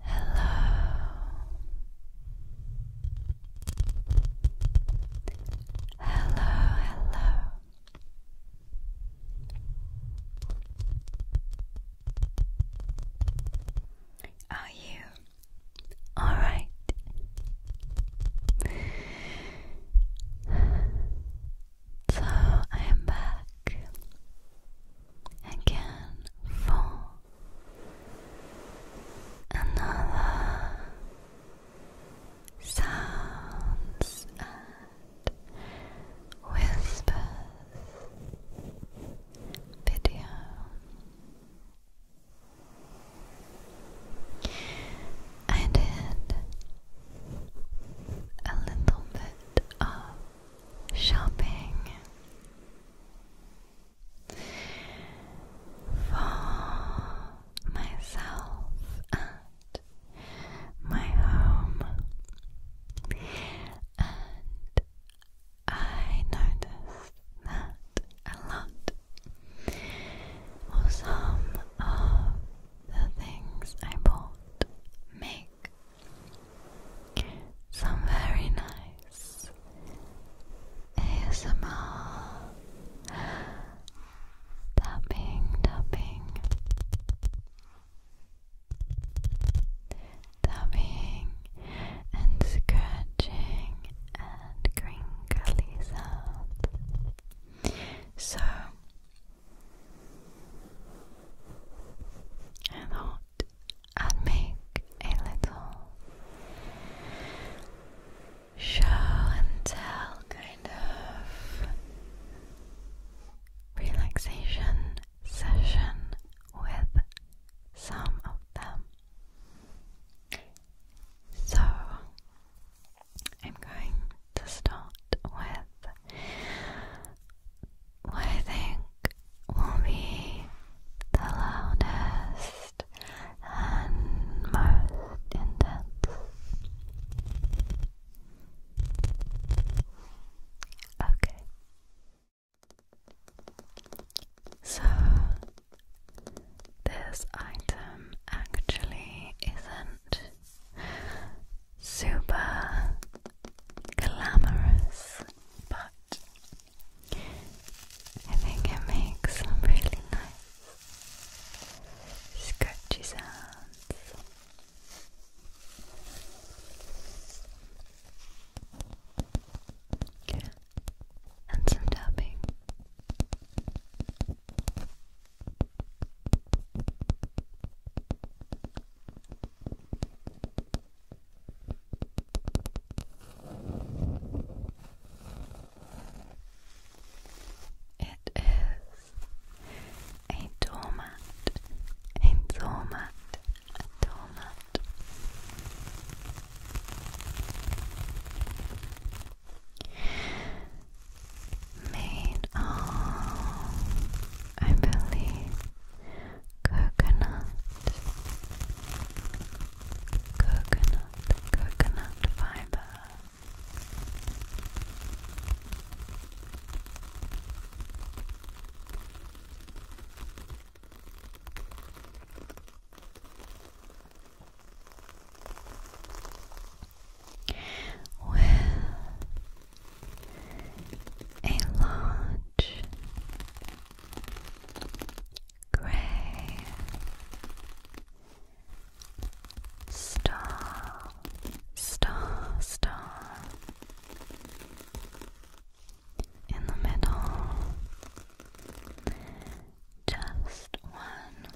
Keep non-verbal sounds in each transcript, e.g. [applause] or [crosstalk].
Hello. Hello, hello. Are you all right? So I am back again for another sounds and whispers video. I did a little bit of shopping. For myself at my home, and I noticed that a lot or some of the things I bought make some very nice ASMR tapping, tapping, tapping, and scratching and crinkly sounds. So, I thought I'd make a little show and tell kind of relaxation session with some of them. So I'm going to start with what I think will be the loudest and most intense. Okay. So, this item actually isn't super glamorous, but I think it makes really nice scratchy sounds. And some tapping. It is a doormat, a doormat, a doormat. Made of I believe coconut, coconut, coconut fiber. With a large grey star, star, star in the middle, just one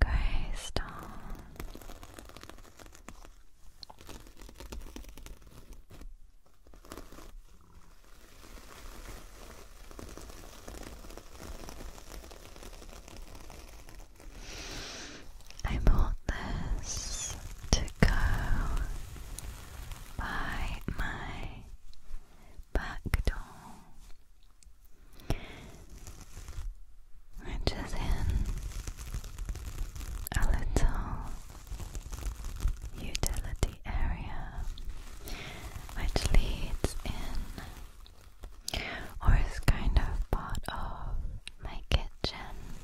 grey star. I bought this to go by my back door which is in a little utility area which leads in or is kind of part of my kitchen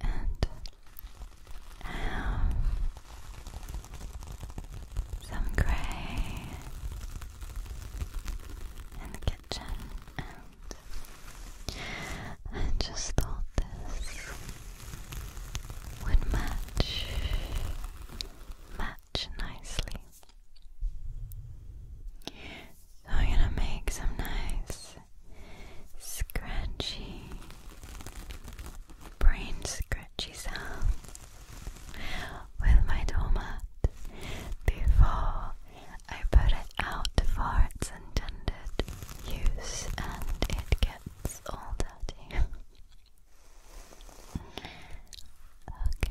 and have some grey in the kitchen and I just thought this would match match nicely. So I'm gonna make some nice scratchy brain scratchy sound with my doormat before I put it out for its intended use and it gets all dirty. [laughs] okay.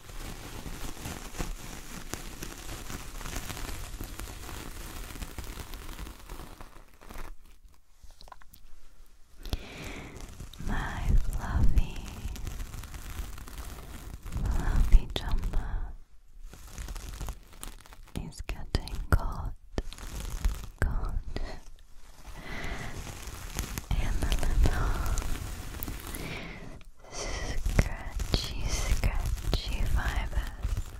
My fluffy, fluffy jumper is getting caught, caught in the little scratchy, scratchy fibers. Good.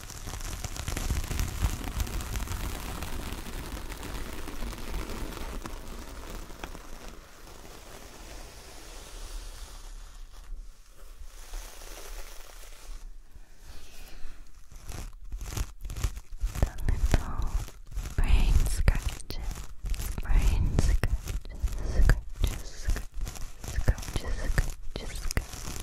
little brain scratches, brain scratches, scratches, scratches, scratches, scratches, scratches.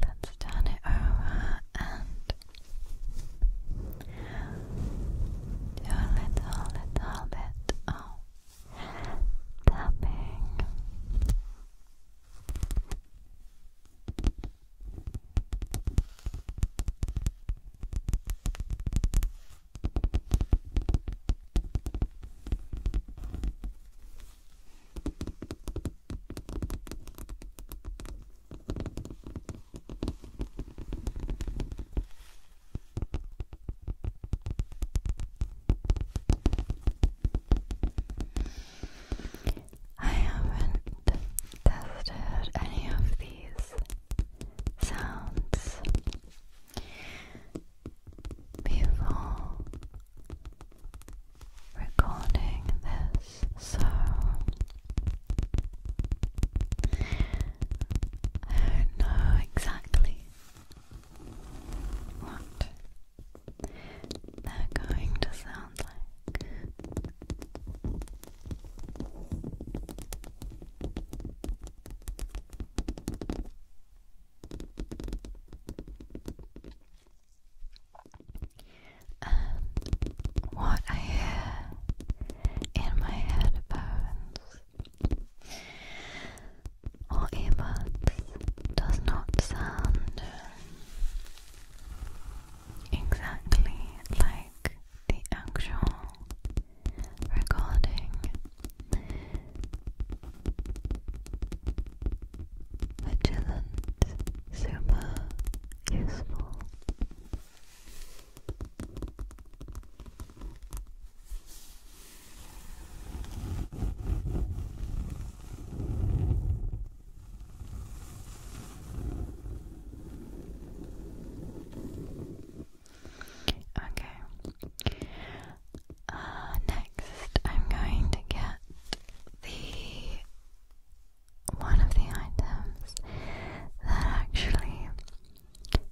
Let's turn it over and do a little, little bit of tapping. I haven't tested any of these sounds before recording this, so I don't know exactly what they're going to sound like. And um, what I hear in my headphones or earbuds does not sound exactly like the actual recording vigilant, super useful. Okay. Uh, next, I'm going to get the one of the items that actually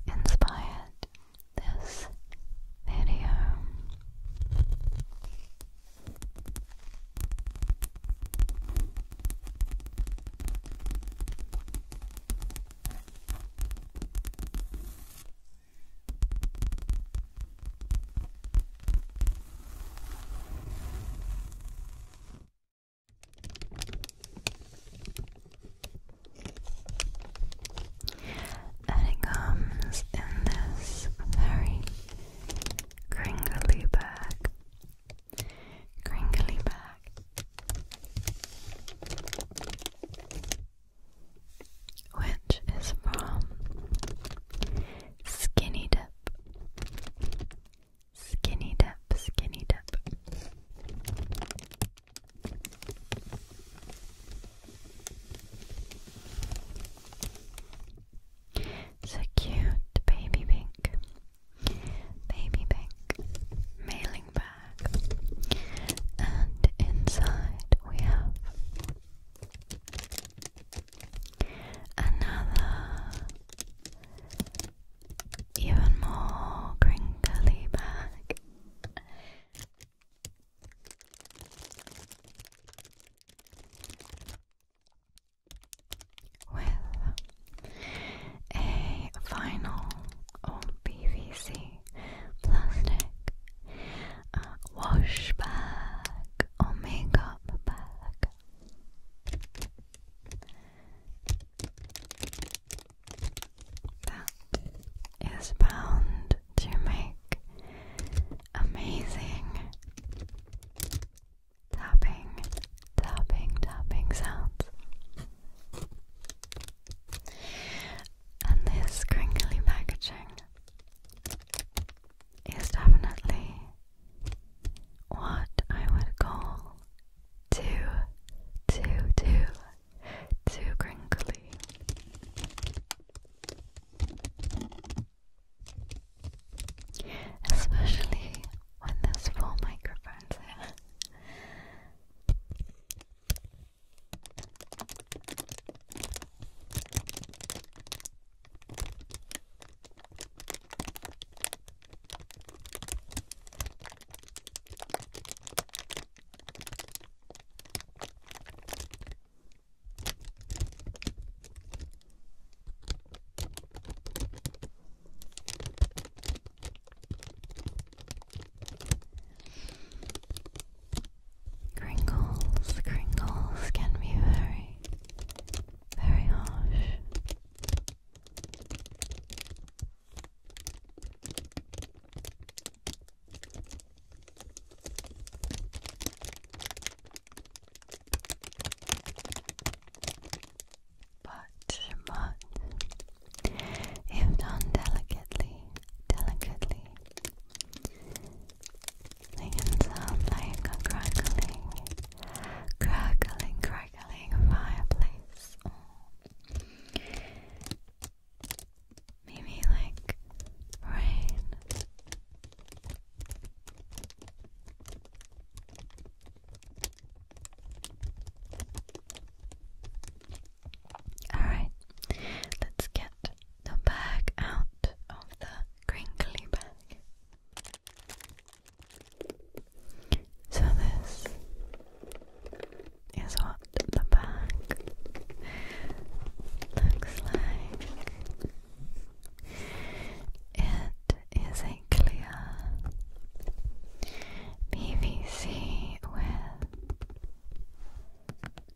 inspired this video. And it comes in this very crinkly bag. Crinkly bag. Which is from Skinny dip. Skinny dip, skinny dip. So cute, baby pink. Baby pink mailing bag. And inside we have another even more crinkly bag. With a final or plastic uh, wash bag omega papalaga. That is bound to make amazing tapping, tapping, tapping sounds. And this crinkly packaging is definitely what I would call too, too, too, too crinkly. Especially when there's four microphones here. Crinkles, crinkles can be very very harsh. But, but, if done delicately, delicately, they can crackling, crackling, crackling fireplace. maybe like rain. Alright, let's get the bag out of the crinkly bag. So, this is what the back looks like. It is a clear PVC with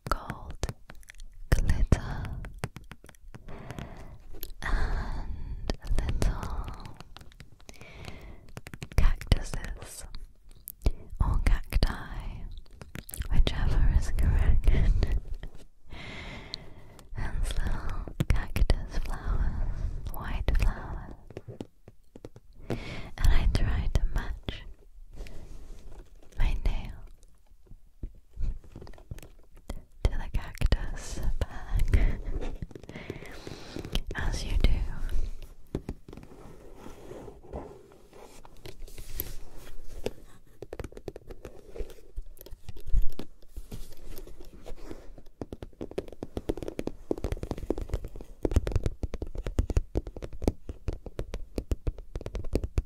gold glitter and little cactuses or cacti, whichever is correct. and little cactus flowers, white flowers. And I try to match my nail to the cactus bag as you do.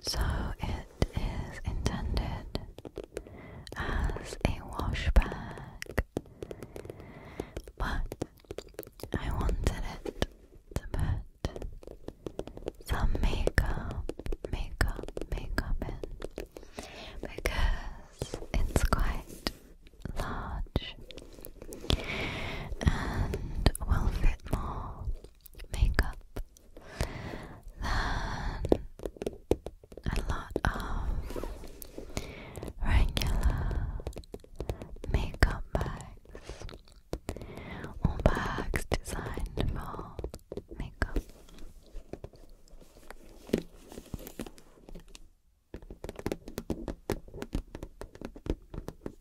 So it is intended as a wash bag, but I wanted to put some makeup, makeup, makeup in because it's quite large and will fit more makeup than a lot of regular makeup bags or bags designed for makeup.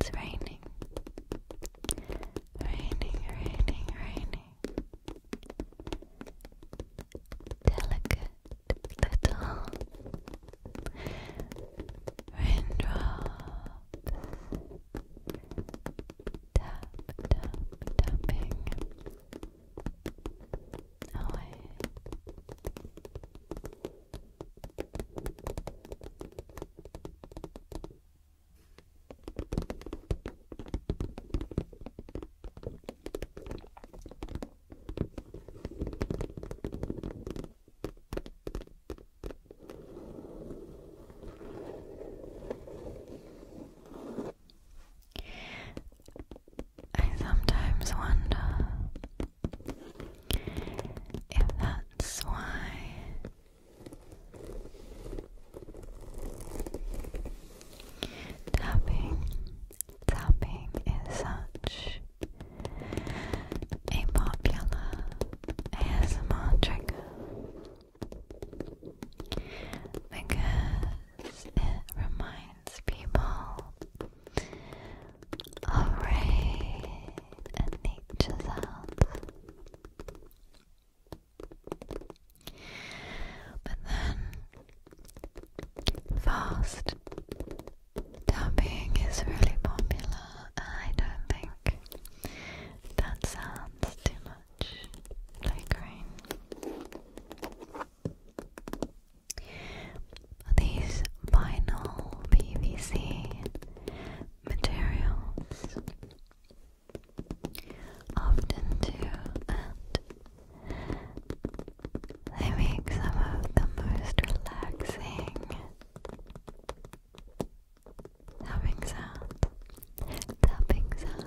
It's raining, raining, raining, raining delicate little raindrops tap tap tapping away. I sometimes wonder if that's why Tapping, tapping is such a popular ASMR trigger because it reminds people of rain and nature sounds. But then, fast tapping is really popular, I don't think that sounds too much like rain. These vinyl PVC materials often do, and they make some of the most relaxing tapping sounds. Tapping sounds.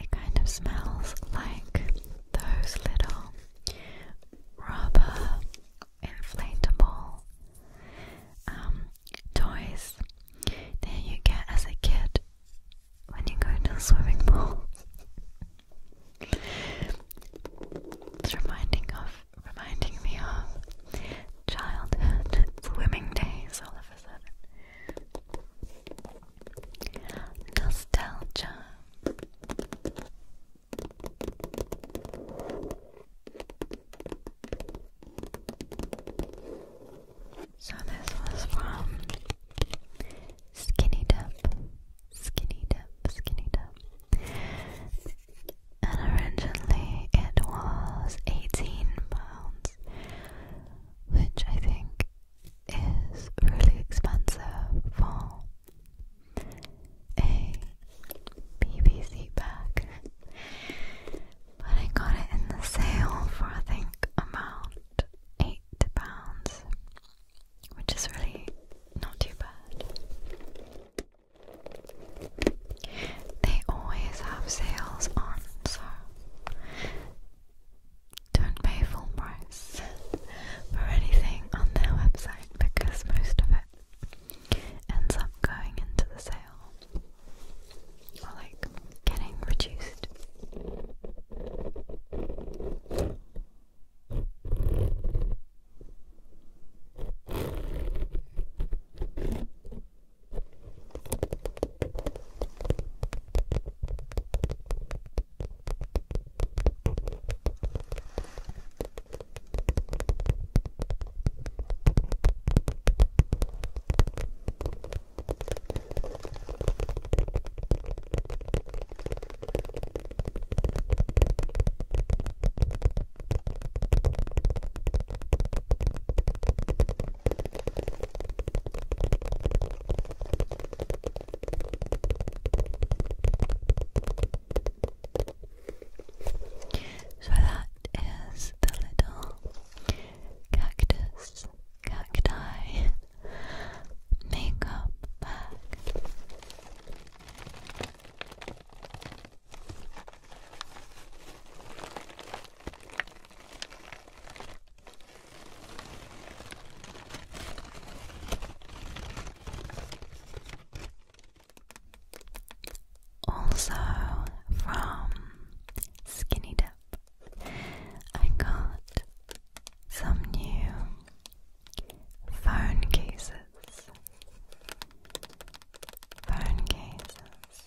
It kind of smells like those little rubber inflatable um, toys that you get as a kid when you go to the swimming pool. it's reminding of reminding me of childhood swimming days all of a sudden. Nostalgia. So this was from Skinny Dip, Skinny Dip, Skinny Dip. And originally it was eighteen pounds, which I think is really expensive for a BBC bag. But I got it in the sale for I think about eight pounds, which is really not too bad. They always have sales on, so don't pay full price for anything on their website because most of it ends up going into the sale or like getting reduced. So that is the little cactus cacti makeup bag. Also from Skinny Dip, I got some new phone cases. Phone cases.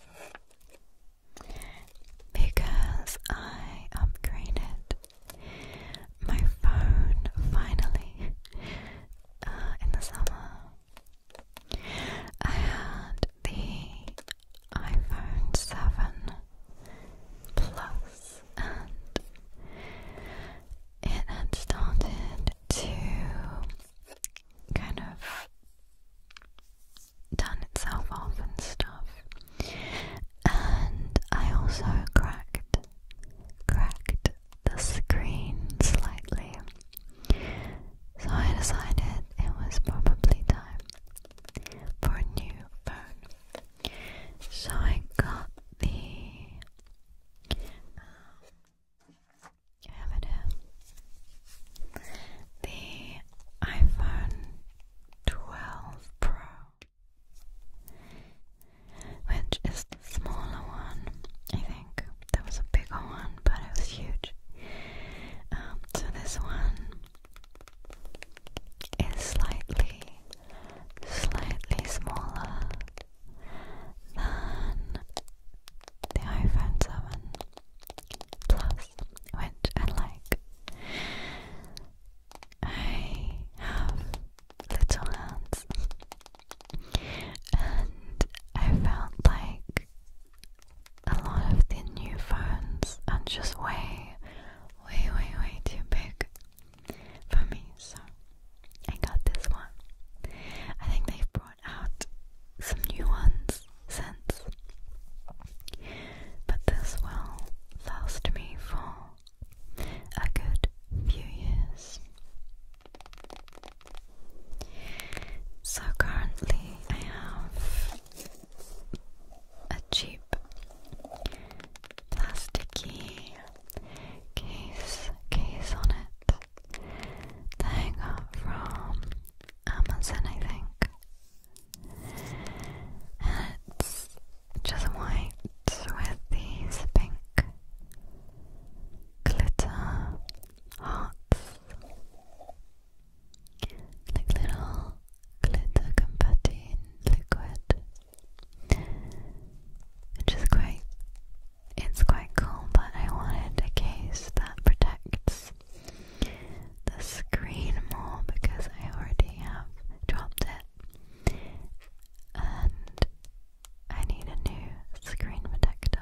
Because I upgraded my phone finally uh, in the summer. I had the iPhone 7 Plus, and it had started to kind of done itself off and stuff. And I also cracked cracked the screen slightly. So I decided it was probably time for a new phone. So I got the um, The iPhone 12 Pro, which is the smaller one. I think there was a bigger one, but it was huge. Um, so this one is slightly, slightly smaller than the iPhone 7 Plus, which I I have little hands, and I felt like a lot of the new phones are just way, way, way, way too big for me. So I got this one. I think they've brought out some new ones since, but this will last me for a good few years. So currently, I have a cheap plasticky case case on it I got from Amazon, I think. And it's just white with these pink glitter hearts like little glitter confetti liquid, which is quite. It's quite cool, but I wanted a case that protects the screen more because I already have dropped it, and I need a new screen protector.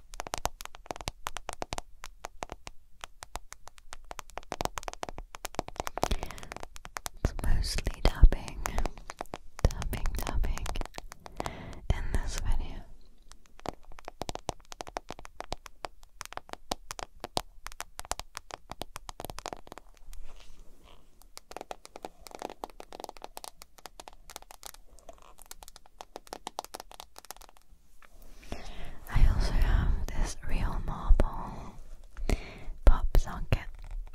It's mostly tapping, tapping, tapping in this video. I also have this real marble pop socket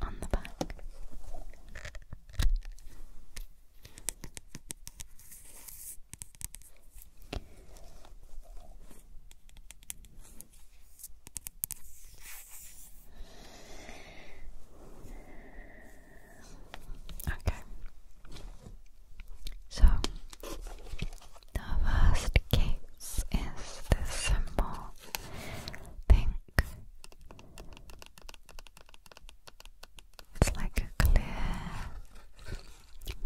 on the back. Okay. So the first case is the simple pink. It's like a clear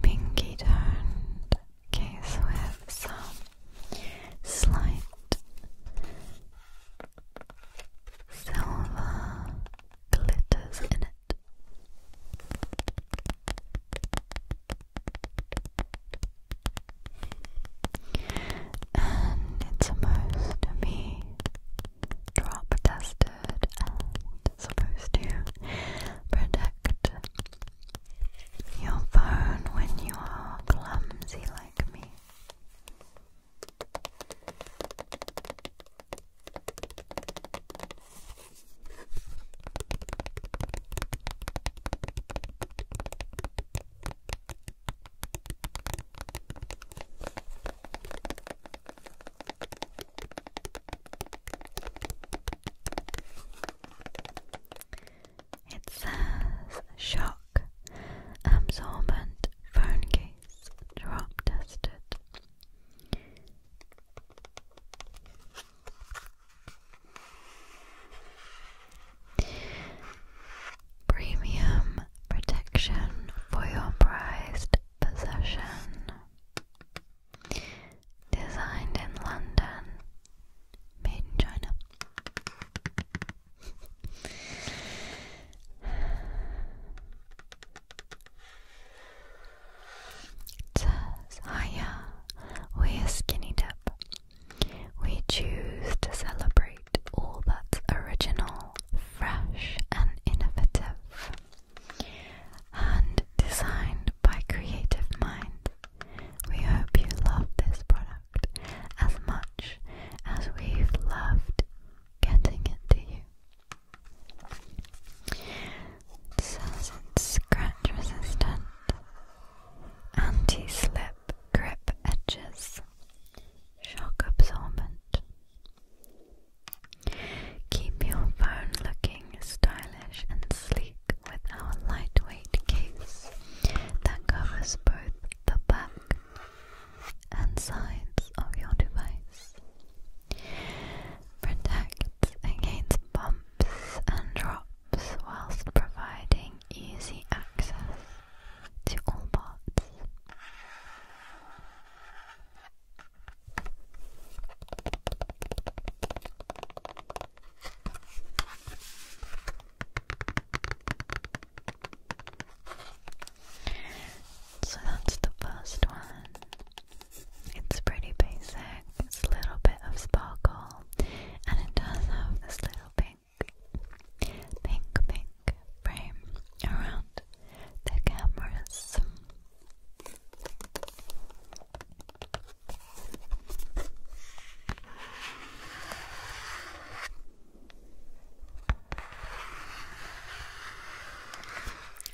pinky toned case with some slight silver glitters in it. And it's supposed to be drop tested and supposed to protect your phone when you are clumsy like me. It says shock absorbent phone case drop tested. Premium protection for your prized possession. Designed in London, made in China. It says, we're Skinny Dip. We choose to celebrate all that's original, fresh, and innovative. And designed by creative minds. We hope you love this product as much as we've loved getting it to you. It it's scratch resistant, anti slip grip edges, shock absorbent. Keep your phone looking stylish and sleek with our lightweight case that covers both the back and sides of your device. Protects against bumps and drops whilst providing easy access to all parts. So that's the first one. It's pretty basic, it's a little bit of sparkle, and it does have this little pink, pink, pink frame around the cameras.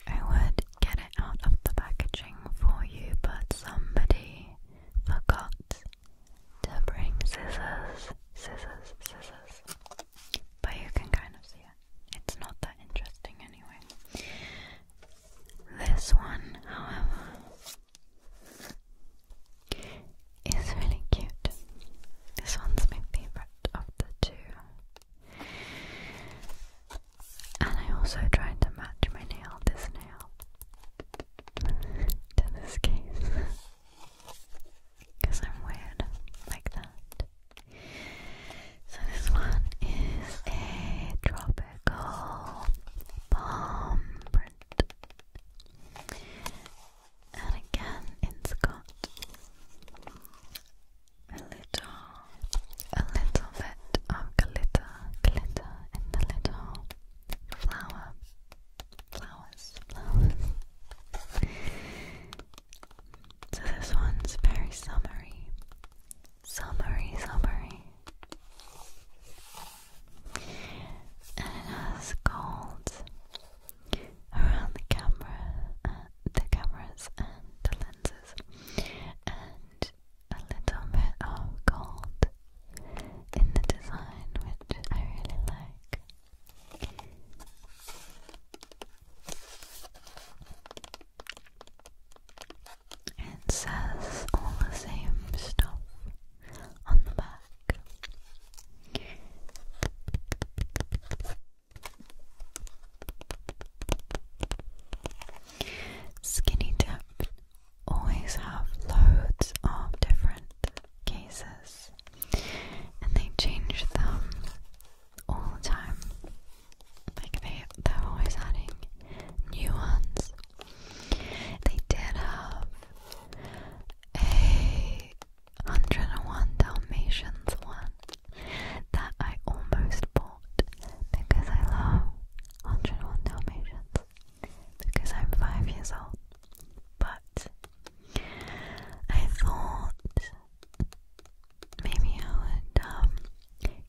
I would get it out of the packaging for you, but somebody forgot to bring scissors, scissors, scissors. But you can kind of see it. It's not that interesting anyway. This one, however, is really cute. This one's my favorite of the two. And I also tried to match my nail, this nail, to this case. Because I'm weird like that. So this one is a tropical palm print. And again, it's got a little, a little bit of glitter, glitter in the little flower, flowers, flowers. so this one's very summery, summery, summery, and it has gold around the camera and the cameras and the lenses, and a little bit of gold in the design, which I really like. It says all the same stuff on the back. Skinny dipped always have loads of different cases and they change them all the time. Like they're always adding new ones. They did have a 101 Dalmatians one that I almost bought because I love 101 Dalmatians because I'm five years old. But I thought maybe I would um,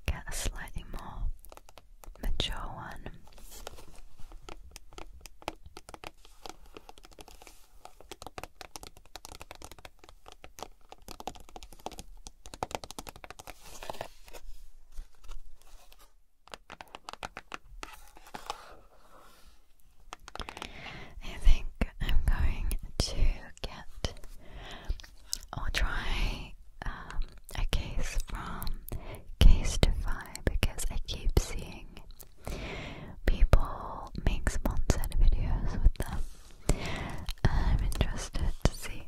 get a slightly more mature one. I think I'm going to get or try um, a case from Casetify because I keep seeing people make sponsored videos with them I'm interested to see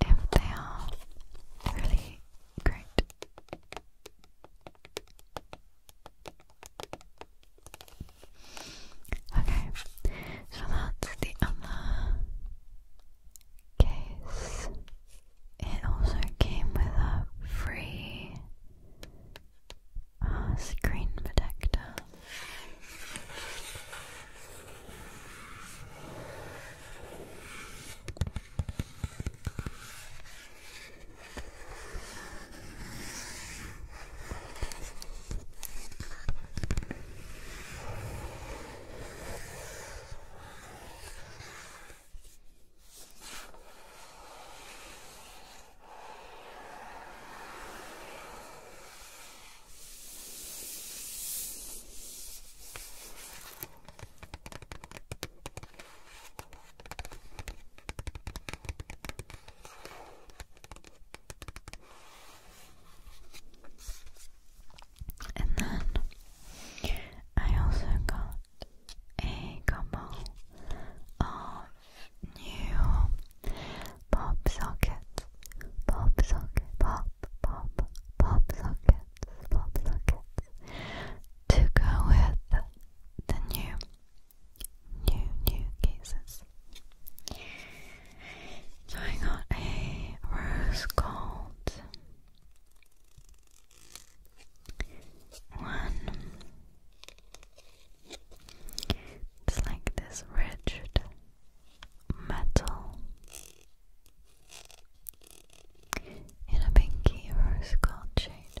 if they are really great. Okay, so that's the other case. It also came with a free Ah, screen protector. And then I also got a couple of new pop sockets, pop socket, pop, pop, pop sockets, pop sockets to go with the new, new, new cases. So I got a rose gold one. It's like this rigid metal in a pinky rose gold shade.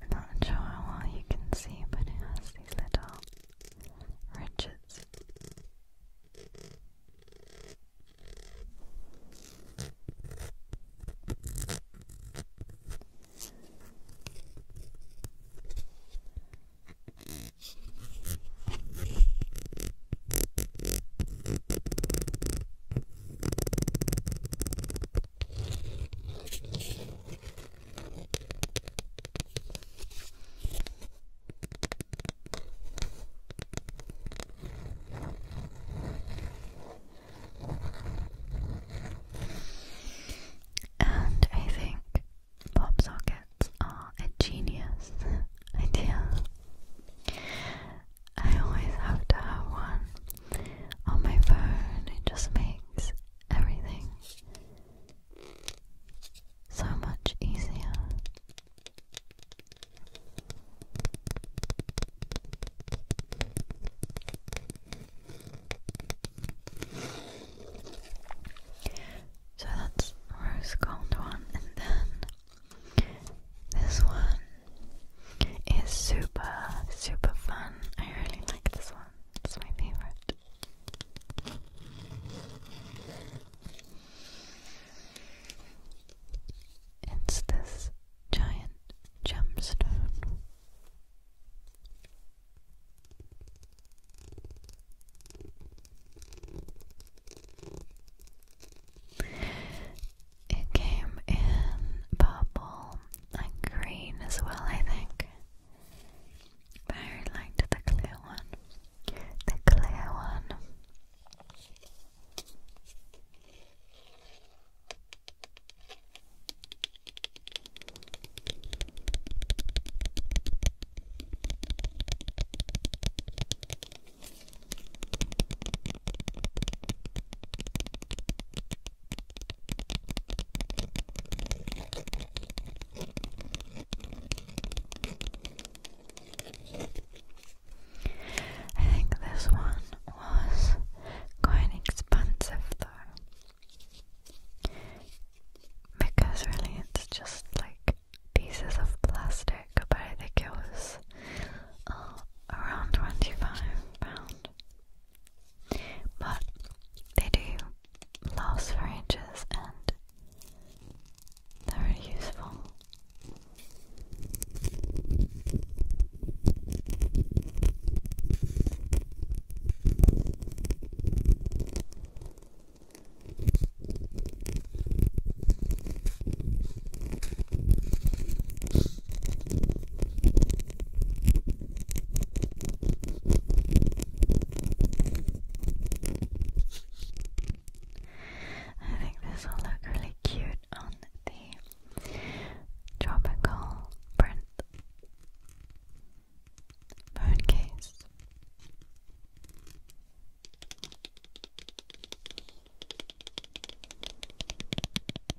I'm not sure how well you can see, but it has these little ridges. And I think pop sockets are a genius idea. I always have to have one on my phone, it just makes everything so much easier. So that's rose gold one, and then this one is super, super fun. I really like this one, it's my favorite. It's this giant gemstone. It came in purple and green as well, I think. But I the clear one. The clear one. I think this one was quite expensive though. Because really it's just like pieces of plastic, but I think it was uh, around 25 pound. But they do last for ages and they're useful. I think this will look really cute on the tropical print phone case.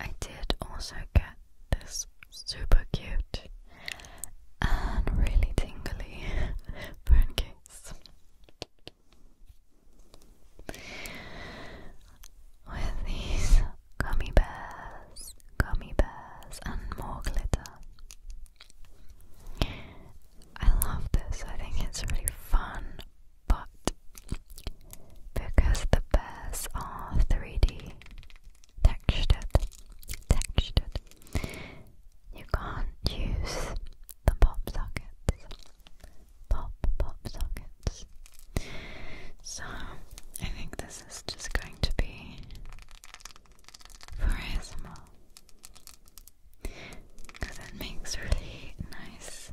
I did also get this super cute and really tingly [laughs] phone case with these gummy bears, gummy bears, and more glitter. I love this, I think it's really fun, but because the bears are 3D textured, textured, you can't use the pop sockets. Pop, pop sockets. So, I think this is just going to be for ASMR. Because it makes really nice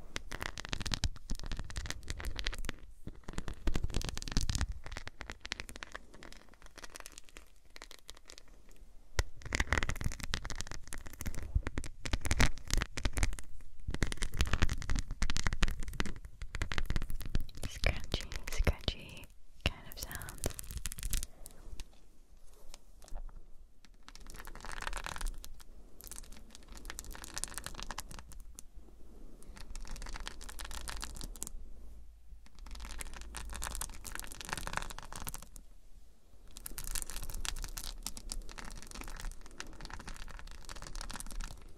scratchy, scratchy kind of sounds.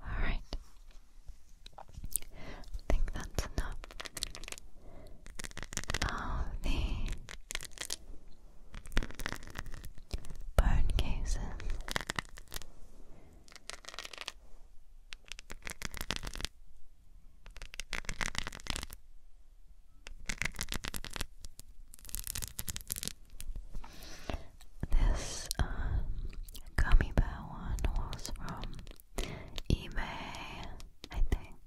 All right. I think that's enough of the burn cases. This um, gummy bear one was from eBay, I think.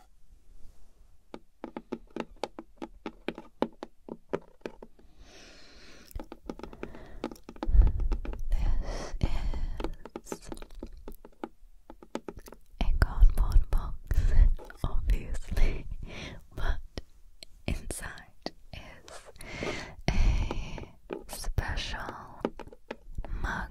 This is a cardboard box, obviously, but inside is a special mug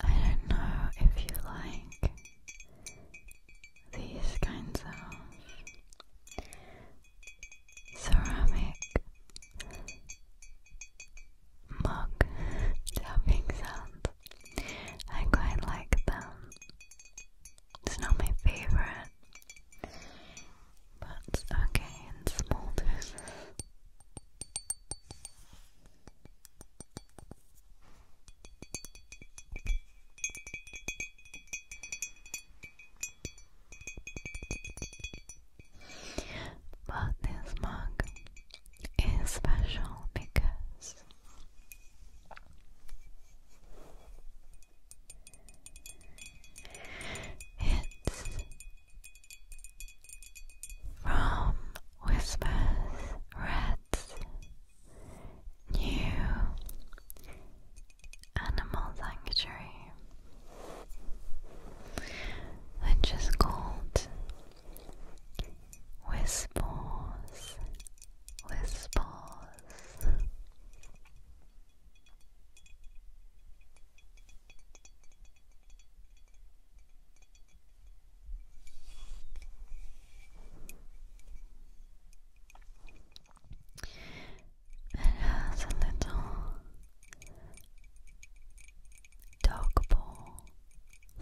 I don't know if you like these kinds of ceramic mug tapping sounds. I quite like them. It's not my favorite, but it's okay and smolders. But this mug is special because it's from Whispers Red's new animal sanctuary which is called Whispers. Whispers. It has a little dog bowl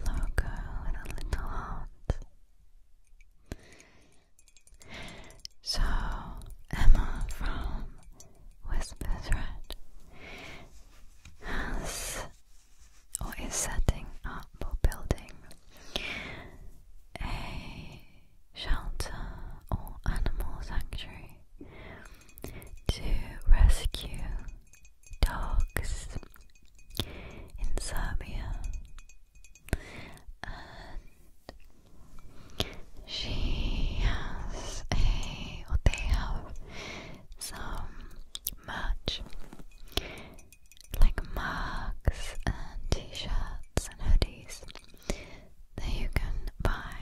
logo with a little heart. So Emma from Whispers has or is setting up or building a shelter or animal sanctuary to rescue dogs in Serbia, and she has a or they have some merch like mugs and t-shirts and hoodies that you can buy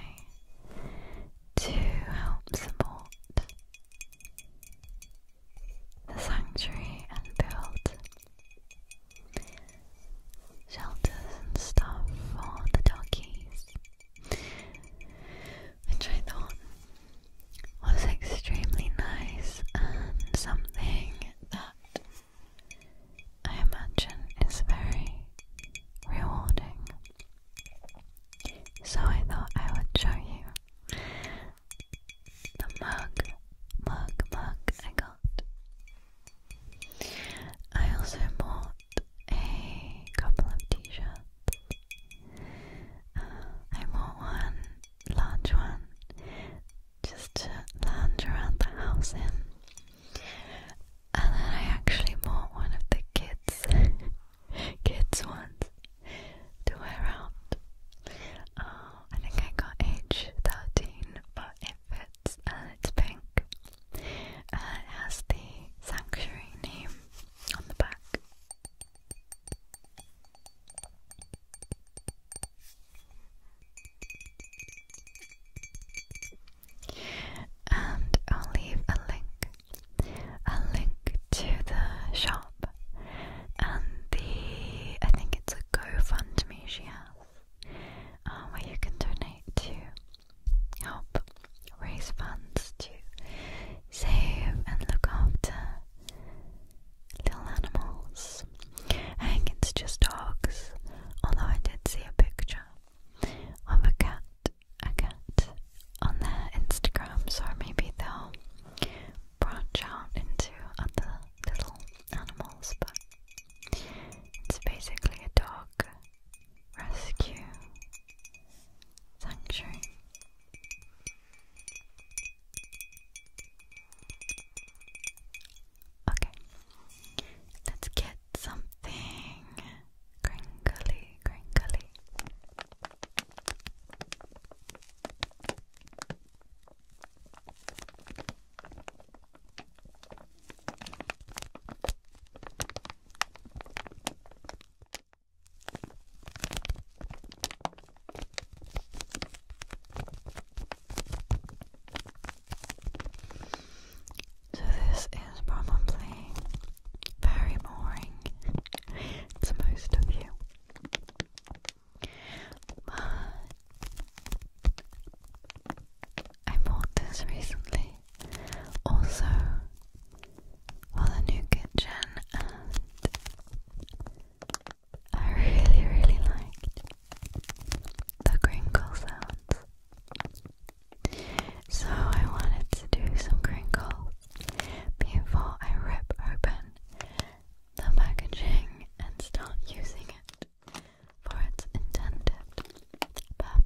to help support the sanctuary and build shelters and stuff for the donkeys, which I thought was extremely nice and something that I imagine is very rewarding. So I thought I would show you the mug, mug, mug I got. I also bought a couple of t shirts. Uh, I bought one large one just to lounge around the house in. And then I actually bought one of the kids [laughs] kids ones to wear out. Uh, I think I got age 13, but it fits it's pink. Uh, it has the sanctuary name on the back. And I'll leave a link a link to the shop and the I think it's a GoFundMe she has uh, where you can donate to help raise funds to save and look after little animals. I think it's just dogs, although I did see a picture of a cat a cat on their Instagram, so maybe they'll branch out into other little animals, but it's basically a dog rescue sanctuary. Okay, let's get something crinkly, crinkly. So, this is probably very boring to most of you. But I bought this recently also while a new kitchen I really really liked the crinkle sounds. So I wanted to do some crinkles before I rip open the packaging and start using it for its intended purpose.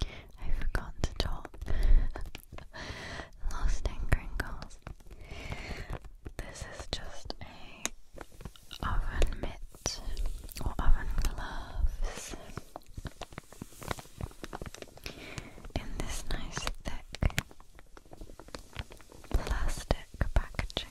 I forgot to talk. [laughs] Lost in Gringles. This is just a oven mitt or oven gloves in this nice thick plastic packaging.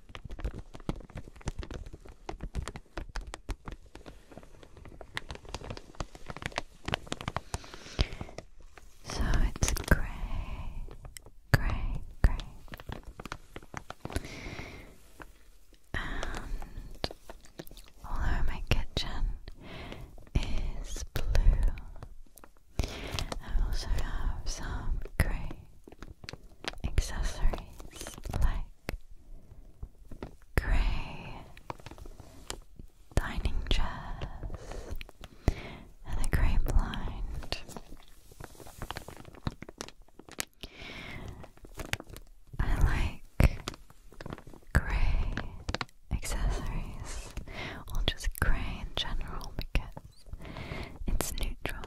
So it's gray, gray, gray. And all my kitchen is blue. I also have some grey accessories like grey dining chairs and a grey blind. I like grey accessories, or just grey in general it's neutral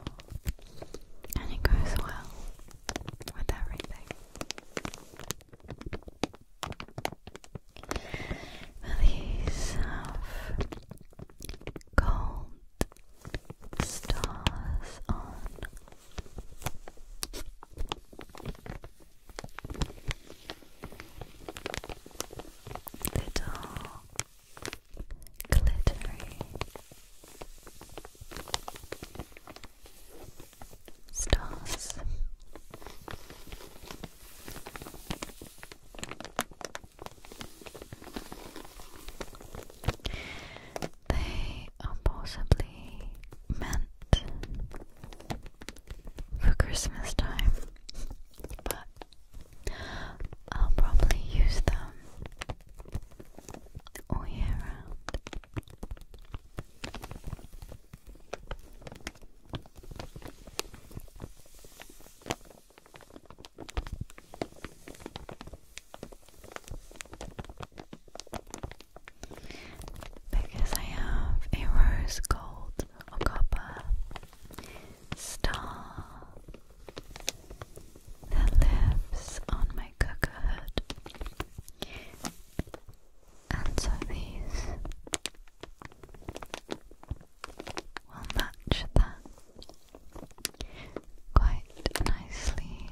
and it goes well with everything. Release of gold stars on. Little glittery stars. They are possibly meant for Christmas time, but I'll probably use them all year round. Because I have a rose gold or copper star that lips on my cooker hood. And so these will match that quite nicely.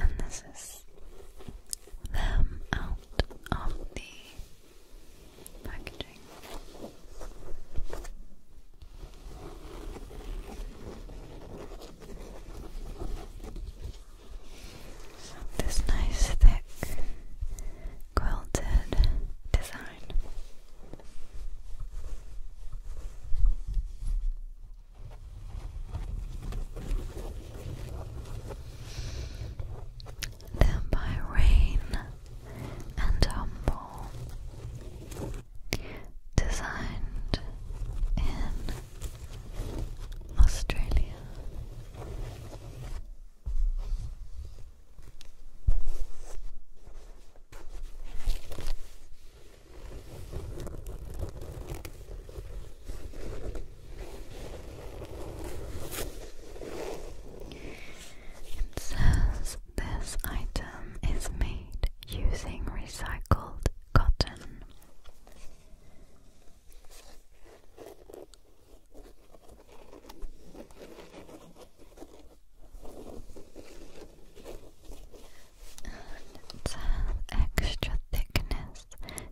And this is them out of the packaging. this nice thick quilted design. Then by rain and humble, designed in Australia. It this item is made using recycled cotton. It's extra thickness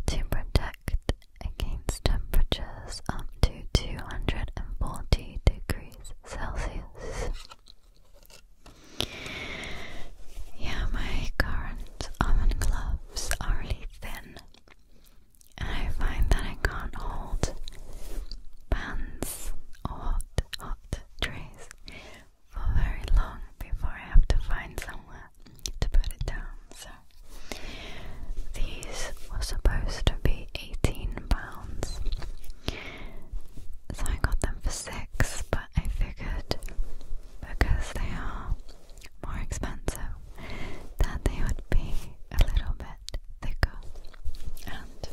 to protect against temperatures up to 240 degrees Celsius. Yeah, my current almond gloves are really thin. I find that I can't hold pans or hot, hot trays for very long before I have to find somewhere to put it down. So these were supposed to be £18, so I got them for 6 but I figured because they are more expensive that they would be a little bit thicker and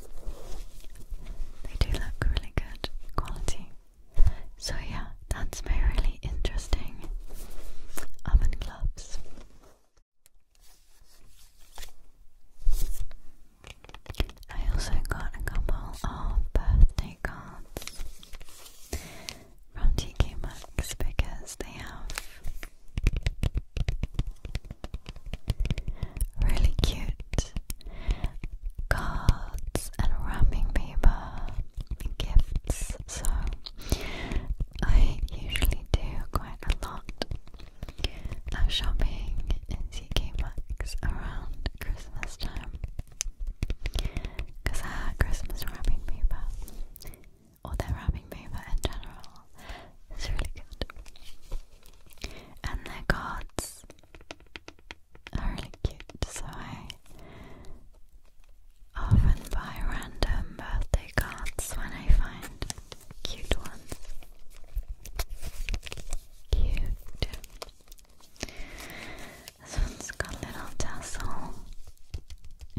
they do look really good quality. So yeah, that's my really interesting oven gloves. I also got a couple of birthday cards from TK Maxx because they have Really cute cards and wrapping paper gifts. So I usually do quite a lot of shopping in CK Maxx around Christmas time because I had Christmas wrapping paper or their wrapping paper in general is really good. And their cards are really cute, so I often buy random birthday cards when I find cute ones. Cute. This one's got a little tassel.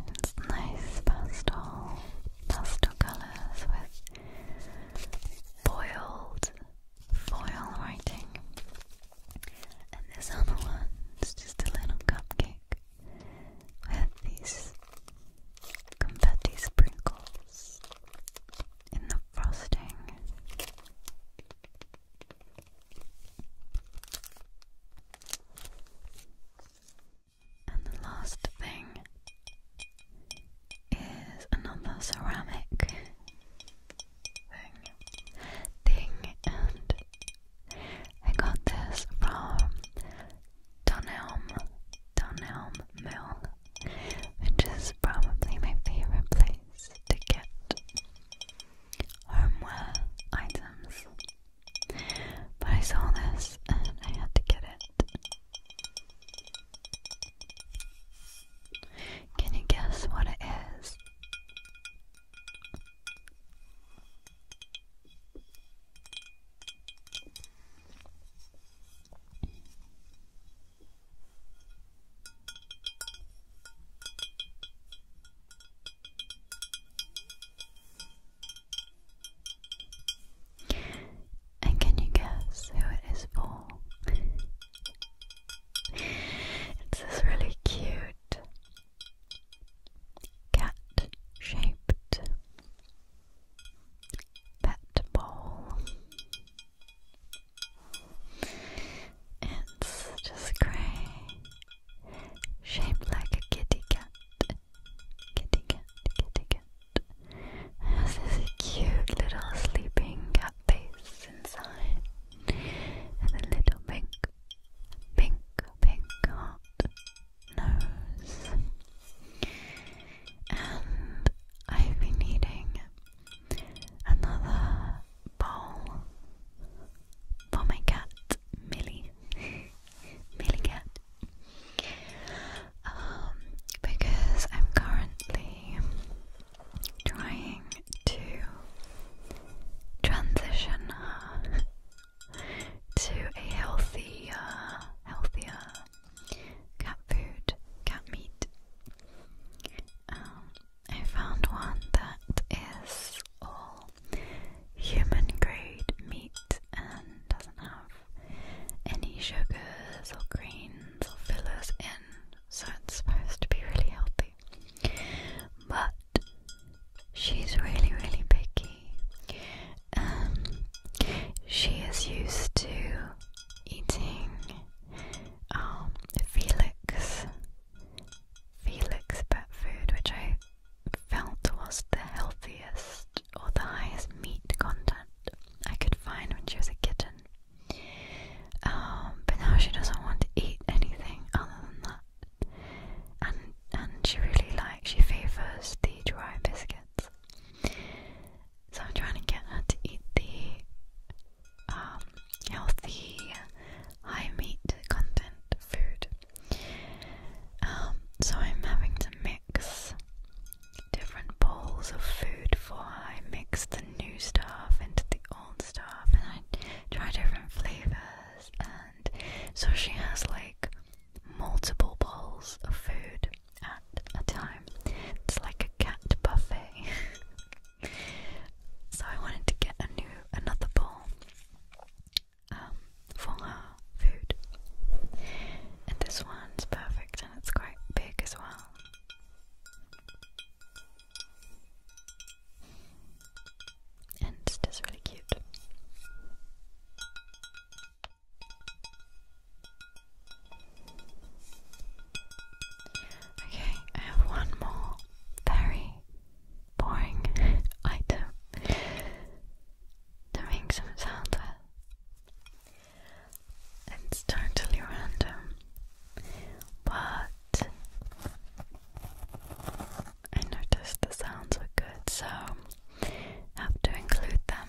It's nice pastel, pastel watercolors with foiled foil writing. And this other one's just a little cupcake with these confetti sprinkles in the frosting. And the last thing is another ceramic thing. Thing and I got this from Dunelm, Dunelm Mill, which is probably my favorite place to get homeware items. But I saw this and I had to get it. Can you guess what it is? And can you guess who it is for? it's this really cute cat shaped pet bowl. It's just grey, shaped like a kitty cat kitty cat, kitty has this cute little sleeping cat face inside, and a little pink, pink, pink heart nose. And I've been needing another bowl for my cat Millie. Mealy cat. Um, because I'm currently trying to transition to a healthier, healthier cat food, cat meat. Um, I found one that is all human grade meat and doesn't have any sugars or greens or fillers in, so it's supposed to be really healthy. But she's really, really picky. Um, she is used to eating um, Felix, Felix pet food, which I felt was the healthiest all the highest meat content I could find when she was a kitten. Um, but now she doesn't want to eat anything other than that. And and she really likes she favours the dry biscuits. So I'm trying to get her to eat the um, healthy high meat content food. Um, so I'm having to mix different bowls of food for her. I mix the new stuff into the old stuff and I try different flavors and so she has like multiple bowls of food at a time. It's like a cat buffet. [laughs] so I wanted to get a new another bowl um for her food. And this one's perfect and it's quite big as well. And it's just really cute. Okay, I have one more very boring [laughs] item to make some sound with. It's totally random, but I noticed the sounds were good, so have to include them.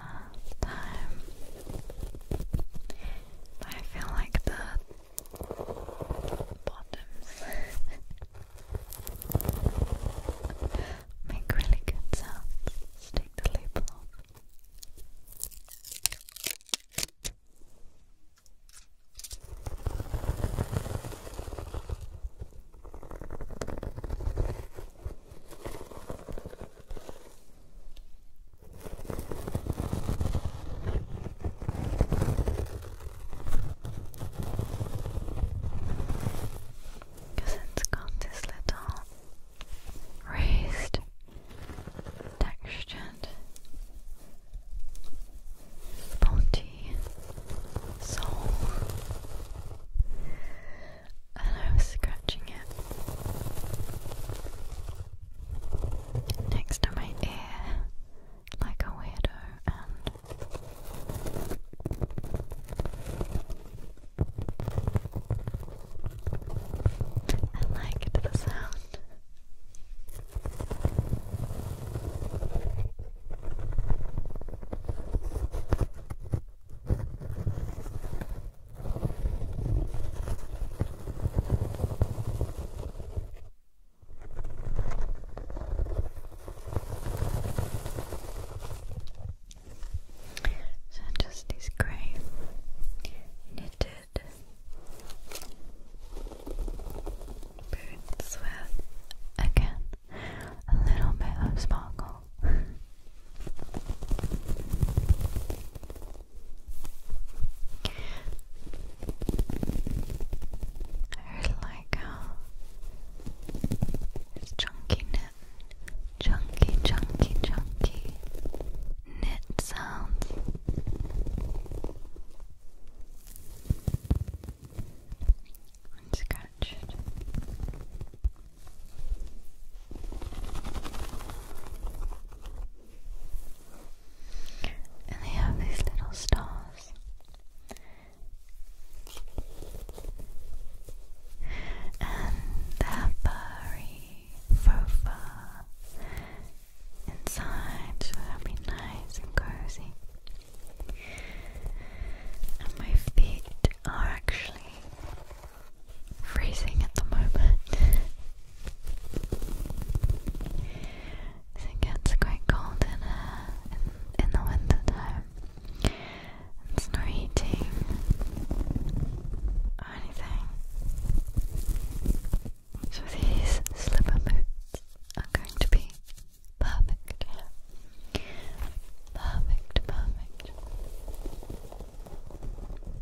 time. But I feel like the bottoms [laughs] make really good sounds. let the label off. Because it's got this little raised textured spongy sole and I was scratching it next to my ear like a weirdo and I liked the sound. So just this grey knitted boots with again a little bit of sparkle. I like uh, chunky knit, chunky, chunky, chunky knit sounds. And and they have these little stars. And their furry fofa inside, will be nice and cozy. And my feet are actually freezing at the moment. it gets quite cold uh, in, in the winter time. It's not heating or anything. So these slipper boots are going to be perfect. Perfect, perfect.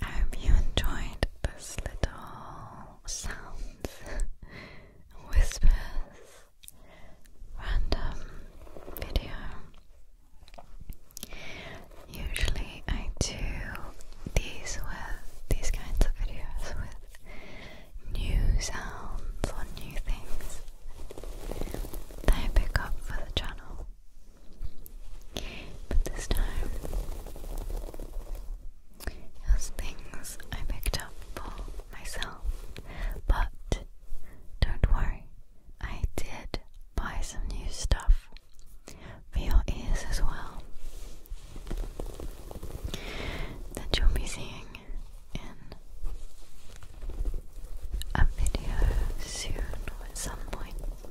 I hope you enjoyed this little sounds, [laughs] whispers, random video. Usually, I do these with these kinds of videos with new sounds or new things that I pick up for the channel. But this time, it things I picked up for myself. But don't worry, I did buy some new stuff for your ears as well that you'll be seeing in a video soon at some point. So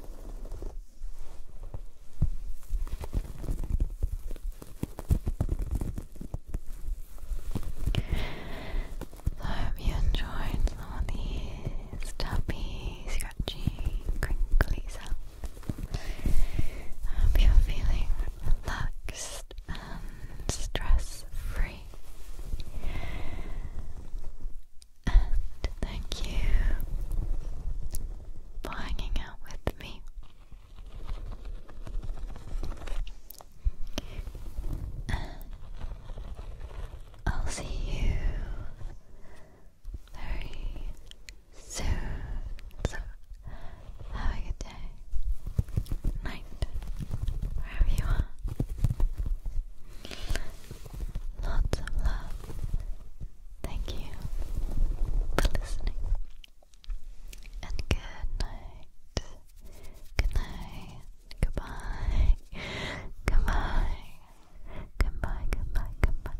I hope you enjoyed some these tappy, scratchy, crinkly sounds. I hope you're feeling relaxed and stress free and thank you for hanging out with me. And I'll see you very soon. So, have a good day, night, wherever you are. Lots of love. Thank you for listening. And good night. Good night. Goodbye. Goodbye. Goodbye. Goodbye. Goodbye. goodbye.